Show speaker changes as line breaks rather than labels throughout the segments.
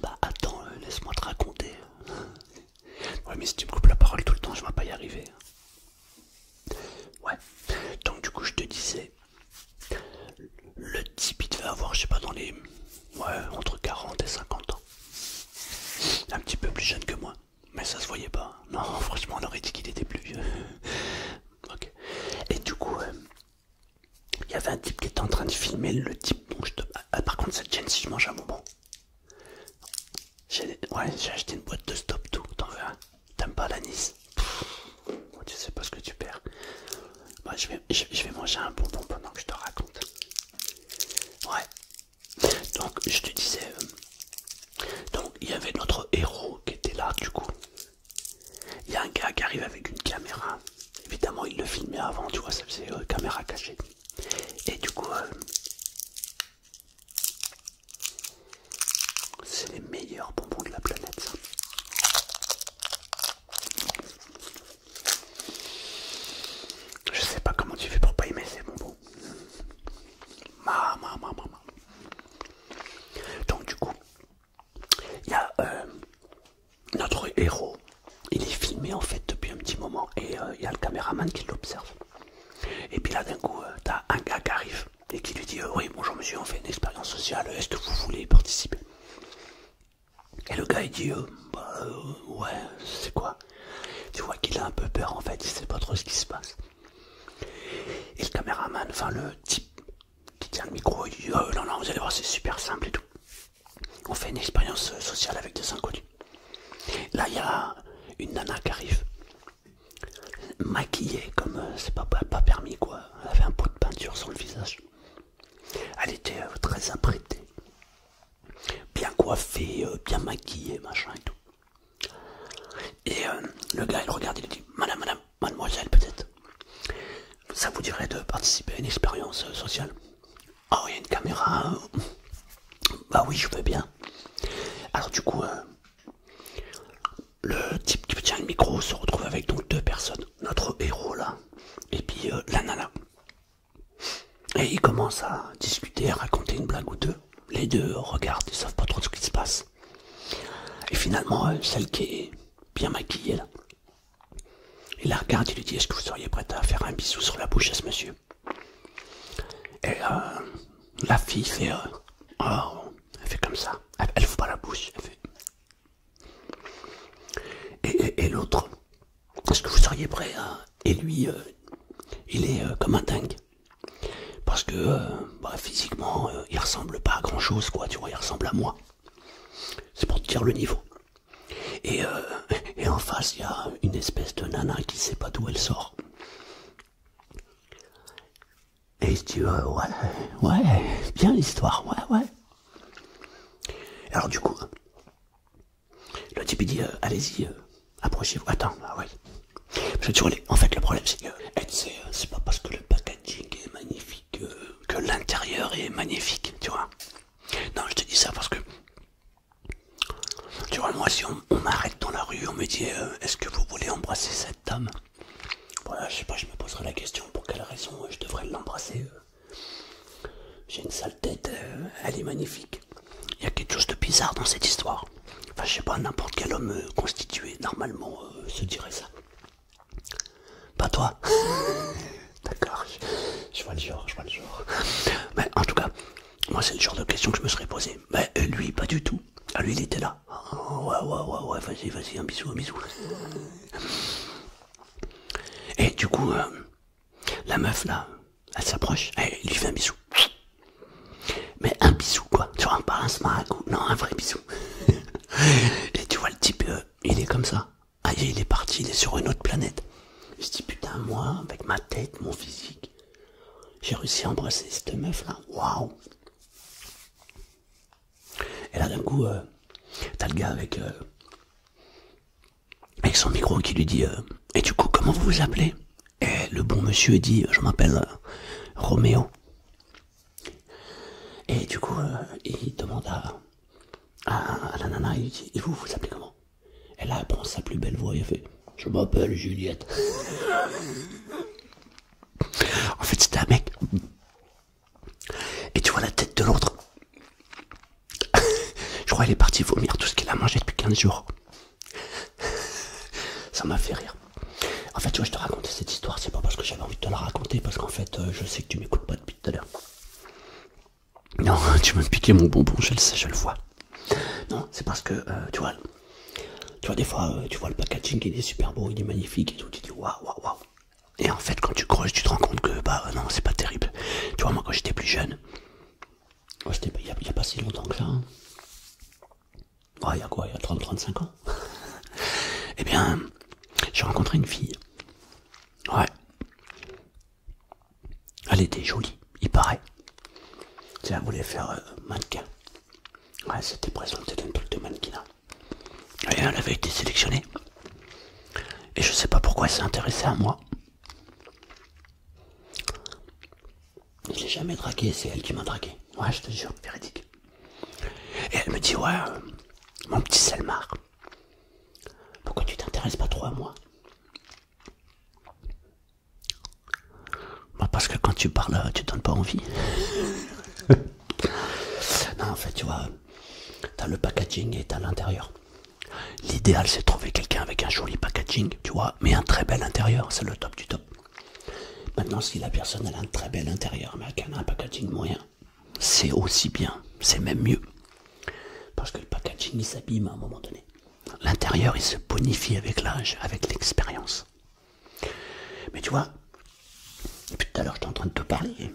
Bah attends, euh, laisse-moi te raconter. ouais mais si tu me coupes la parole tout le temps, je vais pas y arriver. Ouais. Donc du coup je te disais, le type il devait avoir, je sais pas, dans les... Ouais, entre 40 et 50 ans. Un petit peu plus jeune que moi. Mais ça se voyait pas. Non, franchement, on aurait dit qu'il était plus vieux. ok. Et du coup, euh, il y avait un type qui était en train de filmer. Le type, bon, je te... Ah, ah, par contre, cette chaîne, si je mange un Ouais, J'ai acheté une boîte de stop tout. T'en veux T'aimes pas l'anis nice Tu sais pas ce que tu perds. je, vais, manger un bonbon pendant que je te raconte. Ouais. Donc, je te disais. Euh, donc il y avait notre héros qui était là du coup. Il y a un gars qui arrive avec une caméra. Évidemment il le filmait avant, tu vois, c'est euh, caméra cachée. Et du coup... Euh, c'est les meilleurs bonbons de la planète Je sais pas comment tu fais pour pas aimer ces bonbons. Donc du coup, il y a euh, notre héros, il est filmé en fait depuis un petit moment et euh, il y a le caméraman qui l'observe. Et puis là d'un coup, euh, t'as un gars qui arrive et qui lui dit oui bonjour monsieur, on fait une expérience sociale, est-ce que vous voulez participer Et le gars il dit bah, ouais, c'est quoi Tu vois qu'il a un peu peur en fait, il sait pas trop ce qui se passe. Et le caméraman, enfin le type qui tient le micro, il dit oh, non, vous allez voir, c'est super simple et tout. On fait une expérience sociale avec des inconnus. Là, il y a une nana qui arrive, maquillée comme euh, c'est pas, pas, permis quoi. Elle avait un pot de peinture sur le visage. Elle était euh, très apprêtée, bien coiffée, euh, bien maquillée, machin et tout. Et euh, le gars il regarde, il dit Madame, madame, mademoiselle peut-être, ça vous dirait de participer à une expérience euh, sociale oh, il y a une caméra hein. Bah oui, je veux bien. Alors du coup, euh, le type qui tient le micro se retrouve avec donc deux personnes, notre héros là, et puis la nana. Et ils commencent à discuter, à raconter une blague ou deux. Les deux regardent, ils savent pas trop ce qui se passe. Et finalement, euh, celle qui est bien maquillée, là, il la regarde, il lui dit Est-ce que vous seriez prête à faire un bisou sur la bouche à ce monsieur Et euh, la fille fait euh, oh, elle fait comme ça, elle, ne pas la bouche, Et, l'autre, est-ce que vous seriez prêt à... Et lui, il est comme un dingue. Parce que euh, bah, physiquement, euh, il ressemble pas à grand chose, quoi, tu vois, il ressemble à moi. C'est pour te dire le niveau. Euh, et, en face, il y a une espèce de nana qui sait pas d'où elle sort. Et tu vois, ouais, ouais, bien l'histoire, ouais, ouais. Alors du coup, le type dit, allez-y, approchez-vous. Attends, ah je En fait, le problème, c'est que c'est pas parce que le packaging est magnifique euh, que, l'intérieur est magnifique, tu vois. Non, je te dis ça parce que, tu vois, moi, si on, m'arrête dans la rue, on me dit euh, Est-ce que vous voulez embrasser cette dame Voilà, je sais pas, je me poserai la question pour quelle raison euh, je devrais l'embrasser. J'ai une sale tête, elle est magnifique. Il y a quelque chose de bizarre dans cette histoire. Enfin, je sais pas, n'importe quel homme euh, constitué, normalement, euh, se dirait ça. Pas toi D'accord, je, vois le genre, je vois le genre. Mais en tout cas, moi, c'est le genre de question que je me serais posée. Mais euh, lui, pas du tout. Ah, lui, il était là. Ah, ouais, ouais, ouais, ouais, vas-y, vas-y, un bisou, un bisou. Et du coup, la meuf, là, elle s'approche, elle eh, lui fait un bisou. Mais un bisou quoi, tu vois, pas un smaragou, non, un vrai bisou. Et tu vois, le type, euh, il est comme ça. Ah, il est parti, il est sur une autre planète. Je dis putain, moi, avec ma tête, mon physique, j'ai réussi à embrasser cette meuf là. Waouh! Et là, d'un coup, euh, t'as le gars avec, euh, avec son micro qui lui dit Et du coup, comment vous vous appelez? Et eh, le bon monsieur dit Je m'appelle euh, Roméo. Et du coup, euh, il demande à, la nana il dit Et vous, vous appelez comment Et là, elle prend sa plus belle voix et fait Je m'appelle Juliette. en fait, c'était un mec. Et tu vois la tête de l'autre. Je crois qu'il est parti vomir tout ce qu'il a mangé depuis 15 jours. Ça m'a fait rire. En fait, tu vois, je te racontais cette histoire, c'est pas parce que j'avais envie de te la raconter, parce qu'en fait, euh, je sais que tu m'écoutes pas depuis tout à l'heure. Non, tu m'as piqué mon bonbon, je le sais, je le vois. Non, c'est parce que, euh, tu vois, tu vois, des fois, euh, tu vois le packaging, il est super beau, il est magnifique et tout, tu dis waouh, waouh, waouh. Et en fait, quand tu creuses, tu te rends compte que, bah non, c'est pas terrible. Tu vois, moi, quand j'étais plus jeune, il n'y a, pas si longtemps que ça, hein. Ouais, oh, il y a quoi, il y a 30-35 ans Eh bien, j'ai rencontré une fille. Ouais. Elle était jolie, il paraît. Elle voulait faire euh, mannequin. Ouais, c'était présenté d'un truc de mannequinat. Hein. Et elle avait été sélectionnée. Et je sais pas pourquoi elle s'est intéressée à moi. Je l'ai jamais dragué, c'est elle qui m'a dragué. Ouais, je te jure, véridique. Et elle me dit, ouais, euh, mon petit Selmar, pourquoi tu t'intéresses pas trop à moi bah, Parce que quand tu parles, tu donnes pas envie. non, en fait, tu vois, as le packaging et as l'intérieur. L'idéal, c'est de trouver quelqu'un avec un joli packaging, tu vois, mais un très bel intérieur, c'est le top du top. Maintenant, si la personne a un très bel intérieur, mais qu'elle a un packaging moyen, c'est aussi bien, c'est même mieux. Parce que le packaging il s'abîme à un moment donné. L'intérieur il se bonifie avec l'âge, avec l'expérience. Mais tu vois, tout à l'heure j'étais en train de te parler.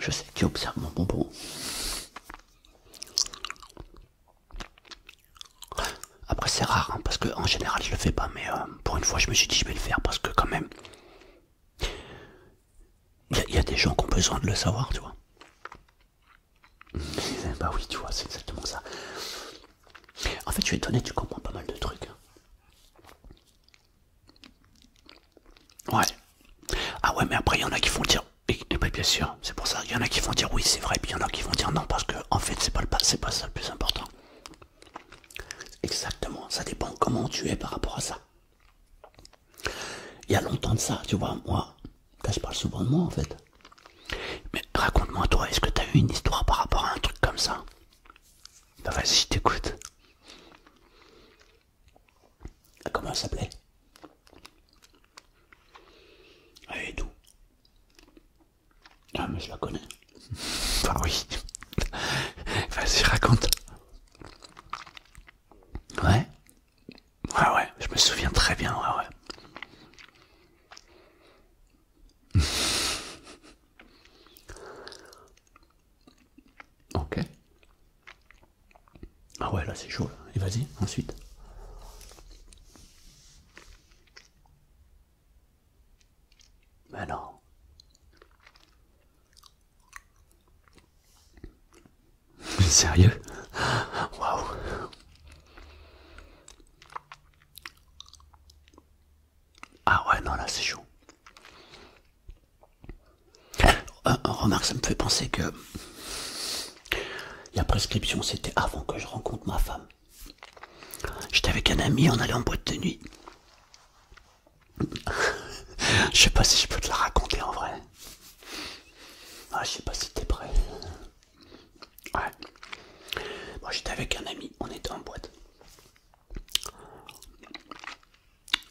Je sais que tu observes mon bonbon. Après c'est rare hein, parce que en général je le fais pas mais euh, pour une fois je me suis dit je vais le faire parce que quand même il y, a des gens qui ont besoin de le savoir tu vois. bah oui tu vois c'est exactement ça. En fait je suis étonné tu comprends pas mal de trucs. Hein. Ouais. Ah ouais mais après il y en a qui font dire et, bien sûr c'est pour ça il y en a qui vont dire oui c'est vrai et puis il y en a qui vont dire non parce que en fait c'est pas, le, pas ça le plus important. Exactement, ça dépend comment tu es par rapport à ça. Il y a longtemps de ça, tu vois, moi, je parle souvent de moi en fait. Mais raconte-moi toi, est-ce que tu as eu une histoire par rapport à un truc comme ça Bah vas-y, je t'écoute. Ah, comment elle s'appelait Elle est ah, mais je la connais. Enfin, oui. Vas-y, raconte. Ouais. Ouais, ouais, je me souviens très bien, ouais, ouais. ok. Ah ouais, là c'est chaud. Et vas-y, ensuite. Mais non. Sérieux Waouh Ah ouais, non, là c'est chaud. Euh, remarque, ça me fait penser que la prescription, c'était avant que je rencontre ma femme. J'étais avec un ami, on allait en boîte de nuit. je sais pas si je peux te la raconter en vrai. Ah, je sais pas si t'es prêt. Ouais. Moi j'étais avec un ami, on était en boîte.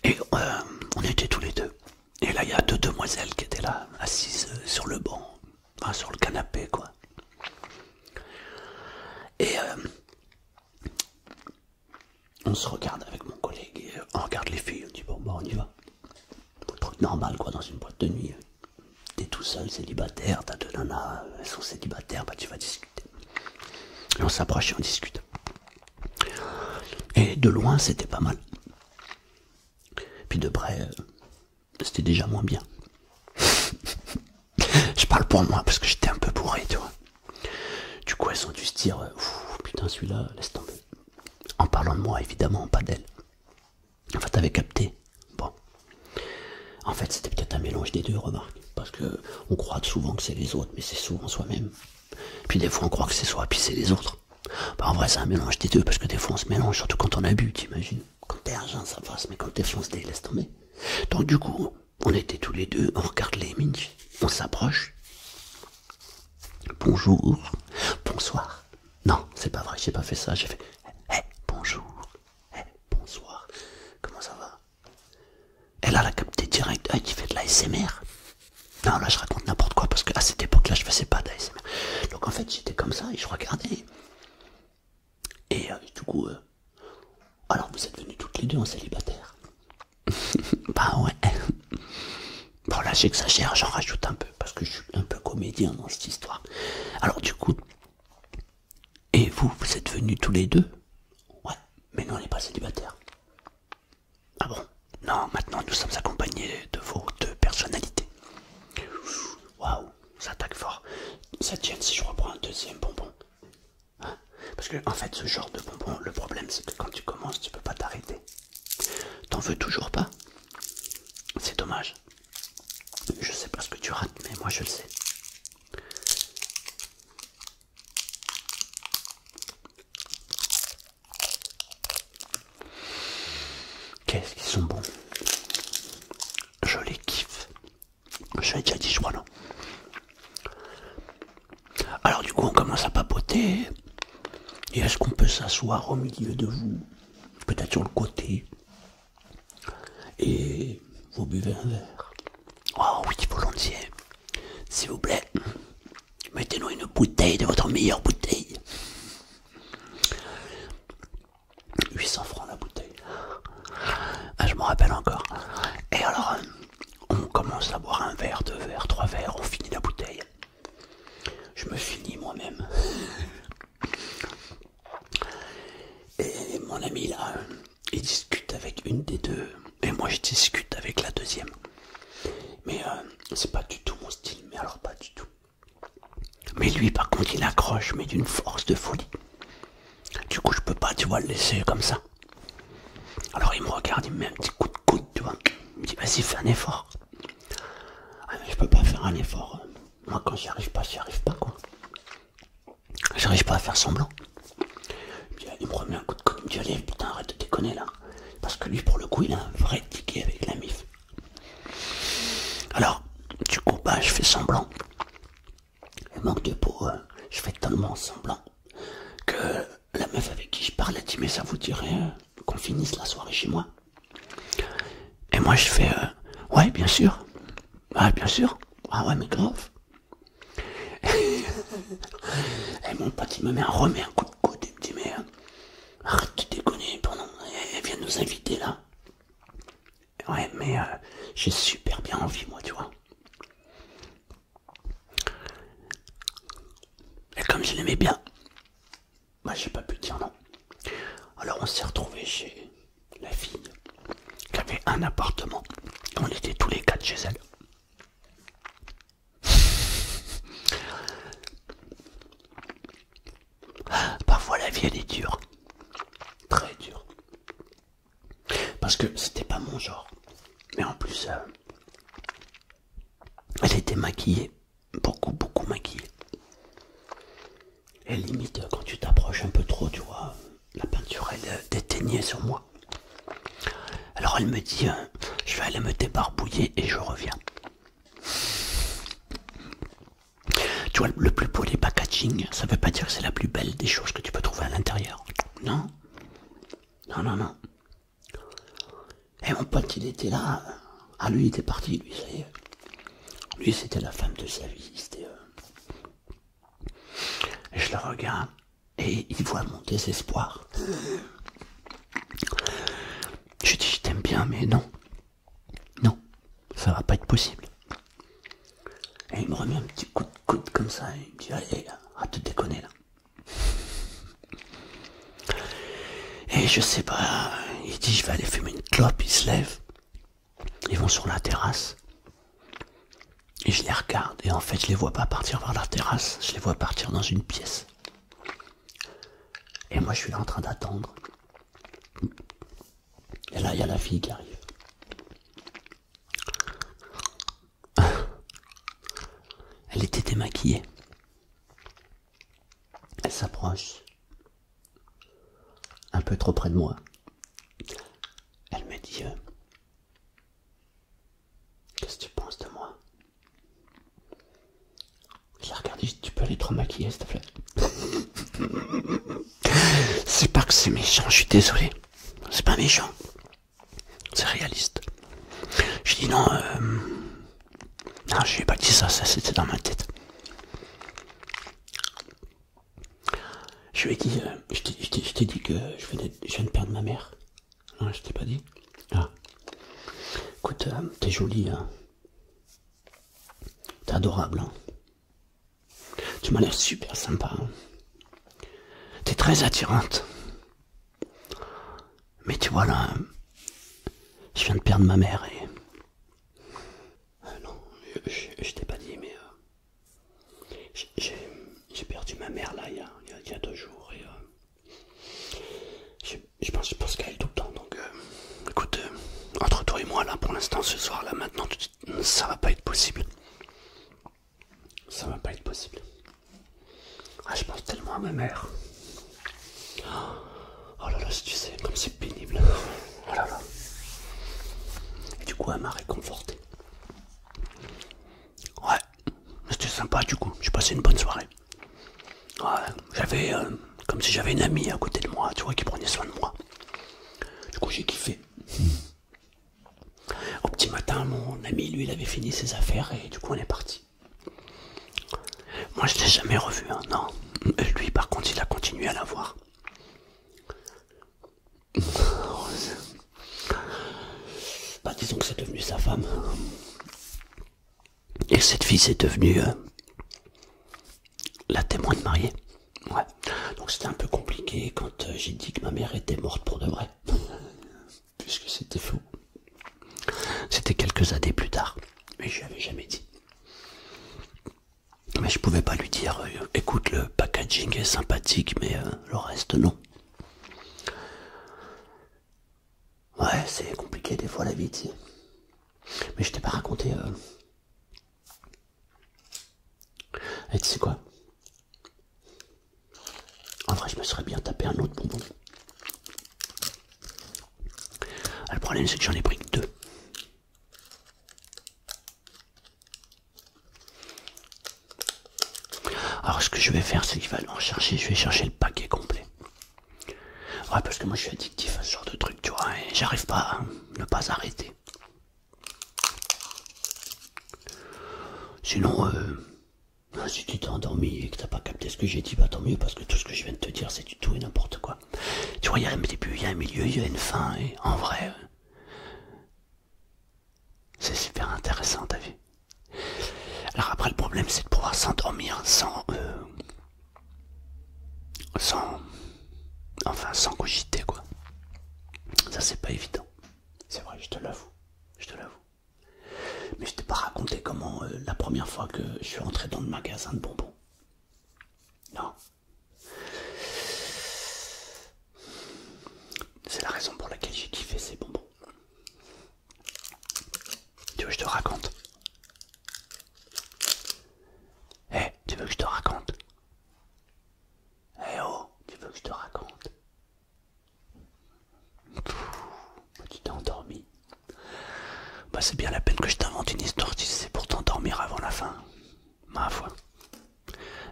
Et euh, on était tous les deux. Et là, il y a deux demoiselles qui étaient là, assises euh, sur le banc, sur le canapé, quoi. Et euh, on se regarde avec mon collègue, euh, on regarde les filles, on dit bon, bah on y va. truc normal quoi, dans une boîte de nuit. T'es tout seul, célibataire, t'as deux nanas, elles sont célibataires, bah tu vas discuter. Et on s'approche et on discute. Et de loin, c'était pas mal. Puis de près, euh, c'était déjà moins bien. Je parle pour moi parce que j'étais un peu bourré, tu vois. Du coup, elles ont dû se dire euh, putain, celui-là, laisse tomber. En parlant de moi, évidemment, pas d'elle. En fait, t'avais capté. Bon. En fait, c'était peut-être un mélange des deux, remarques, Parce que on croit souvent que c'est les autres, mais c'est souvent soi-même. Puis des fois, on croit que c'est soi, puis c'est les autres. Bah, en vrai, c'est un mélange des deux, parce que des fois, on se mélange, surtout quand on a bu, t'imagines. Quand t'es argent, ça passe, mais quand t'es foncé, laisse tomber. Donc du coup, on était tous les deux, on regarde les mines, on s'approche. Bonjour, bonsoir. Non, c'est pas vrai, j'ai pas fait ça, j'ai fait eh, eh, bonjour, eh, bonsoir, comment ça va elle a capté direct, elle ah, qui tu de la SMR Non, là, je raconte n'importe quoi parce qu'à cette époque-là, je faisais pas d'ASMR. Donc en fait, j'étais comme ça et je regardais. Et euh, du coup, euh, alors vous êtes venus toutes les deux en célibataire Bah ouais. Bon là j'exagère, j'en rajoute un peu parce que je suis un peu comédien dans cette histoire. Alors du coup, et vous, vous êtes venus tous les deux Ouais, mais non, on n'est pas célibataire. Ah bon Non, maintenant nous sommes accompagnés de vos deux personnalités. Waouh, ça attaque fort. Ça tient si je reprends un deuxième bonbon. Hein Parce que en fait ce genre de bonbons, le problème c'est que quand tu commences, tu peux pas t'arrêter. T'en veux toujours pas C'est dommage. Je sais pas ce que tu rates, mais moi je le sais. Qu'est-ce qu'ils sont bons Je les kiffe. Je l'ai déjà dit, je non Alors, du coup, on commence à papoter. Et est-ce qu'on peut s'asseoir au milieu de vous Peut-être sur le côté. Et vous buvez un verre. Oh oui, volontiers. S'il vous plaît, mettez-nous une bouteille de votre meilleure bouteille. 800 francs la bouteille. Ah, je m'en rappelle encore. Et alors, euh, on commence à boire un verre, deux verres, trois verres, on finit la bouteille. Je me finis moi-même. Et mon ami là, il discute avec une des deux. Et moi, je discute avec la deuxième. Mais euh, c'est pas du tout mon style, mais alors pas du tout. Mais lui, par contre, il accroche, mais d'une force de folie. Du coup, je peux pas, tu vois, le laisser comme ça. Alors il me regarde, il me met un petit coup de coude, tu vois. Il me dit, vas-y, fais un effort. Ah, je peux pas faire un effort. Moi, quand j'y arrive pas, j'y arrive pas, quoi. J'arrive pas à faire semblant. il me remet un coup de coude, il me dit, allez, putain, arrête de déconner, là. Parce que lui, pour le coup, il a un vrai ticket avec la mif. Alors, du coup, bah, je fais semblant. Le manque de peau, hein. je fais tellement semblant que la meuf avec qui je parle a dit mais ça vous dirait hein, qu'on finisse la soirée chez moi. Et moi je fais euh, ouais bien sûr, ouais bien sûr, ah ouais mais grave. et mon pote il me met remet un coup de coude et me dit mais euh, arrête de déconner, elle vient nous inviter là. Ouais, mais euh, j'ai super bien envie, moi, tu vois. Et comme je l'aimais bien, moi, bah, j'ai pas pu dire non. Alors, on s'est retrouvé chez la fille qui avait un appartement. On était tous les quatre chez elle. Parfois la vie elle est dure, très dure. Parce que c'était pas mon genre. Mais en plus, euh, elle était maquillée. Beaucoup, beaucoup maquillée. Et limite, quand tu t'approches un peu trop, tu vois, la peinture, elle euh, déteignait sur moi. Alors elle me dit, euh, je vais aller me débarbouiller et je reviens. Tu vois, le plus beau des packaging, ça veut pas dire que c'est la plus belle des choses que tu peux trouver à l'intérieur. Non. Non, non, non. Et mon pote, il était là. Ah, lui, il était parti, lui, ça y Lui, c'était la femme de sa vie. Euh, je le regarde et il voit mon désespoir. Je dis, je t'aime bien, mais non. Non, ça va pas être possible. Et il me remet un petit coup de coude comme ça, et il me dit Allez, à te déconner là. Et je sais pas, il dit Je vais aller fumer une clope, il se lève, ils vont sur la terrasse, et je les regarde, et en fait, je les vois pas partir vers la terrasse, je les vois partir dans une pièce. Et moi, je suis là en train d'attendre. Et là, il y a la fille qui arrive. Elle était démaquillée. Elle s'approche un peu trop près de moi. Elle me dit euh, Qu'est-ce que tu penses de moi Je la regarde tu peux aller te remaquiller s'il te plaît. c'est pas que c'est méchant, je suis désolé. C'est pas méchant. C'est réaliste. J'ai dit non, euh, non, j'ai pas dit ça, ça c'était dans ma tête. Je lui ai dit, euh, je t'ai dit que je, venais, viens de perdre ma mère. Non, je t'ai pas dit. Ah. Écoute, euh, t'es jolie. Hein. T'es adorable. Hein. Tu m'as l'air super sympa. Hein. T'es très attirante. Mais tu vois là, je viens de perdre ma mère et... Euh, non, je, t'ai pas dit, mais... Euh, j'ai perdu ma mère là, il y a, deux jours, et... Euh, je, pense, qu'elle est tout le temps, donc... écoute, entre toi et moi, là, pour l'instant, ce soir, là, maintenant, ça va pas être possible. Ça va pas être possible. Ah, je pense tellement à ma mère. Oh là là, si tu sais, comme c'est pénible. Oh du coup, elle m'a réconforté. Ouais, c'était sympa du coup. J'ai passé une bonne soirée. Ouais, j'avais euh, comme si j'avais une amie à côté de moi, tu vois, qui prenait soin de moi. Du coup, j'ai kiffé. Au petit matin, mon ami, lui, il avait fini ses affaires et du coup, on est parti. Moi, je l'ai jamais revu, hein, non. Lui, par contre, il a continué à la voir. Bah, disons que c'est devenu sa femme. Et cette fille, c'est devenue euh, la témoin de mariée. Ouais, donc c'était un peu compliqué quand euh, j'ai dit que ma mère était morte pour de vrai, puisque c'était faux. C'était quelques années plus tard, mais je lui avais jamais dit. Mais je pouvais pas lui dire, euh, écoute, le packaging est sympathique, mais euh, le reste non. Ouais, c'est compliqué des fois la vie, sais. Mais je t'ai pas raconté et tu sais quoi En vrai, je me serais bien tapé un autre bonbon. Ah, le problème, c'est que j'en ai pris deux. Alors, ce que je vais faire, c'est qu'il va en chercher. Je vais chercher le paquet complet. Ouais, parce que moi, je suis addictif à ce genre de truc, tu vois, j'arrive pas à ne pas arrêter. Sinon, euh, ah, si tu t'es endormi et que t'as pas capté ce que j'ai dit, bah tant mieux, parce que tout ce que je viens de te dire, c'est du tout et n'importe quoi. Tu vois, il y a un début, il y a un milieu, il y a une fin, et en vrai, euh, c'est super intéressant, t'as vu Alors après, le problème, c'est de pouvoir s'endormir sans... Euh, sans... Enfin, sans cogiter, quoi. Ça, c'est pas évident. C'est vrai, je te l'avoue. Je te l'avoue. Mais je t'ai pas raconté comment euh, la première fois que je suis rentré dans le magasin de bonbons. Non. C'est la raison pour laquelle j'ai kiffé ces bonbons. Tu veux que je te raconte Eh, tu veux que je te raconte Eh oh, tu veux que je te raconte tu t'es endormi. Bah c'est bien la peine que je t'invente une histoire si c'est pour t'endormir avant la fin. Ma foi.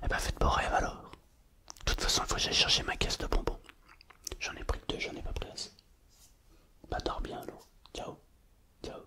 Eh bah faites beau rêve alors. De toute façon, il faut que j'aille chercher ma caisse de bonbons. J'en ai pris deux, j'en ai pas pris assez. Bah dors bien alors. Ciao. Ciao.